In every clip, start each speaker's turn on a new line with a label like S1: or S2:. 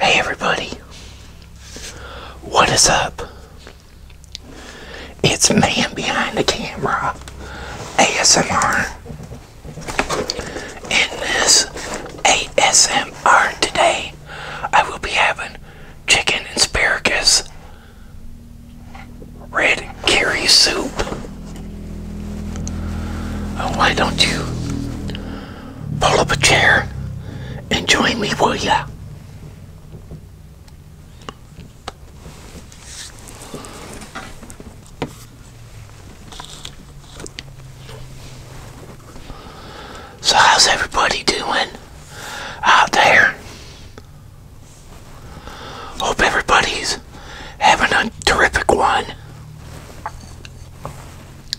S1: Hey everybody, what is up? It's man behind the camera, ASMR. In this ASMR today, I will be having chicken and asparagus red curry soup. Oh, why don't you pull up a chair and join me, will ya? So how's everybody doing out there? Hope everybody's having a terrific one.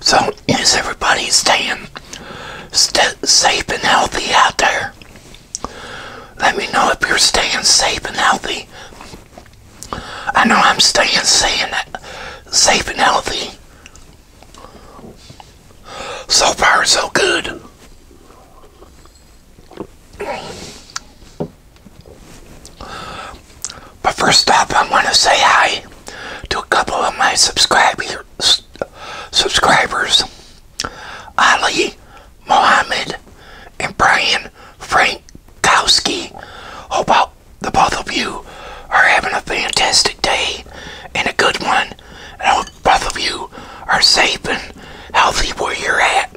S1: So, is everybody staying safe and healthy out there? Let me know if you're staying safe and healthy. I know I'm staying safe and healthy. So far, so good. But first off, I want to say hi to a couple of my subscribers, Ali Mohammed and Brian Frankowski. Hope the both of you are having a fantastic day and a good one. I hope both of you are safe and healthy where you're at.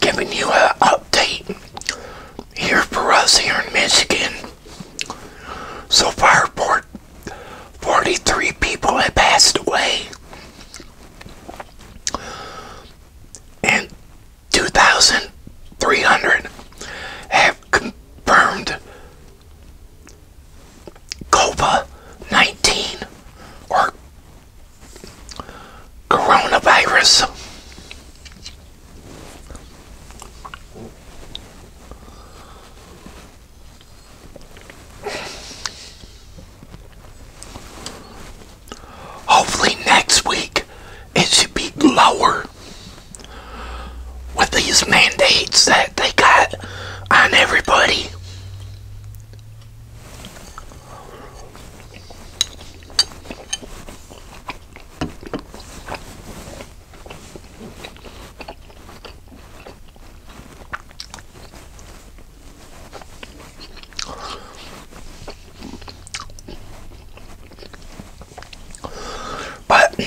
S1: Giving you an update here for us here in Michigan. So far, 43 people have passed away. And 2,300 have confirmed COVID 19 or coronavirus. Hopefully next week it should be lower with these mandates that they got on everybody. But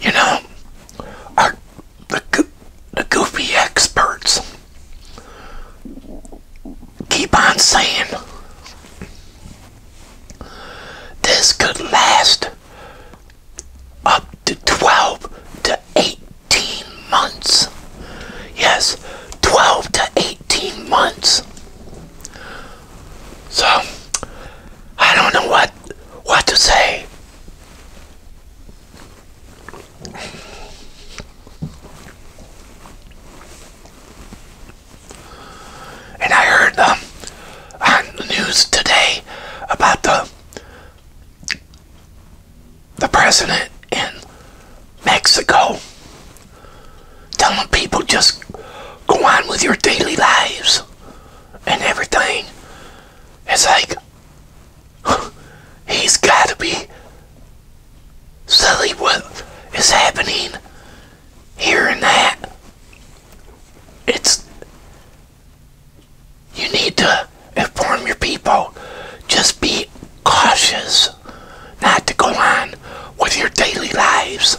S1: you know, our the, goofy experts keep on saying this could last up to 12 to 18 months. Yes, 12 to 18 months. So, I don't know what what to say. And I heard um, the news today about the the president in Mexico telling people just go on with your daily lives and everything. It's like He's got to be silly what is happening here and that. It's you need to inform your people. Just be cautious not to go on with your daily lives.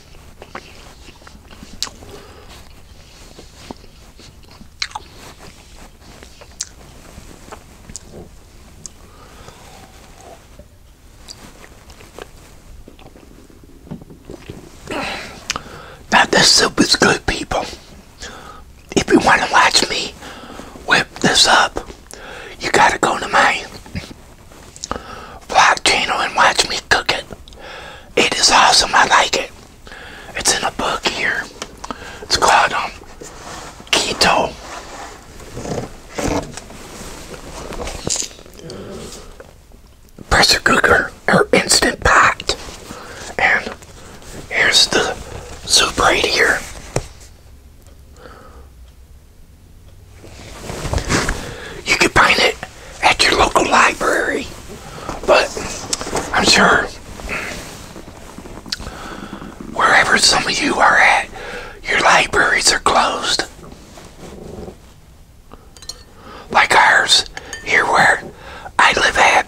S1: Now this soup is good, people. If you want to watch me whip this up, you gotta go to my Black channel and watch me cook it. It is awesome. I like it. It's in a book here. It's called um, Keto. Pressure cooker or instant pot. And here's the soup right here. You can find it at your local library. But I'm sure wherever some of you are at, your libraries are closed. Like ours here where I live at.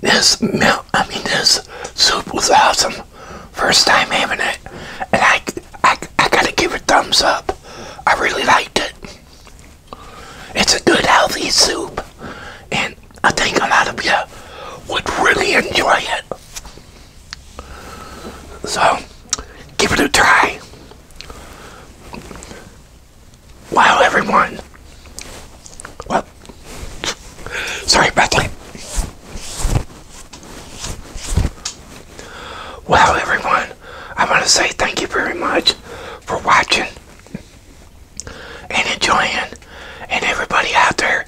S1: This I mean, this soup was awesome. First time having it, and I, I, I gotta give a thumbs up. I really liked it. It's a good healthy soup, and I think a lot of you would really enjoy it. So, give it a try. Wow, everyone. Well, sorry about that. Wow, everyone. I want to say thank you very much for watching and enjoying and everybody out there,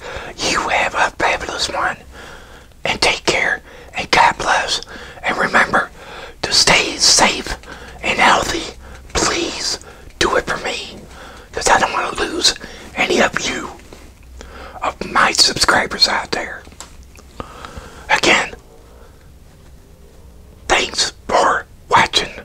S1: you have a fabulous one. And take care, and God bless. And remember to stay safe and healthy. Please do it for me, because I don't want to lose any of you, of my subscribers out there. Again, thanks for watching.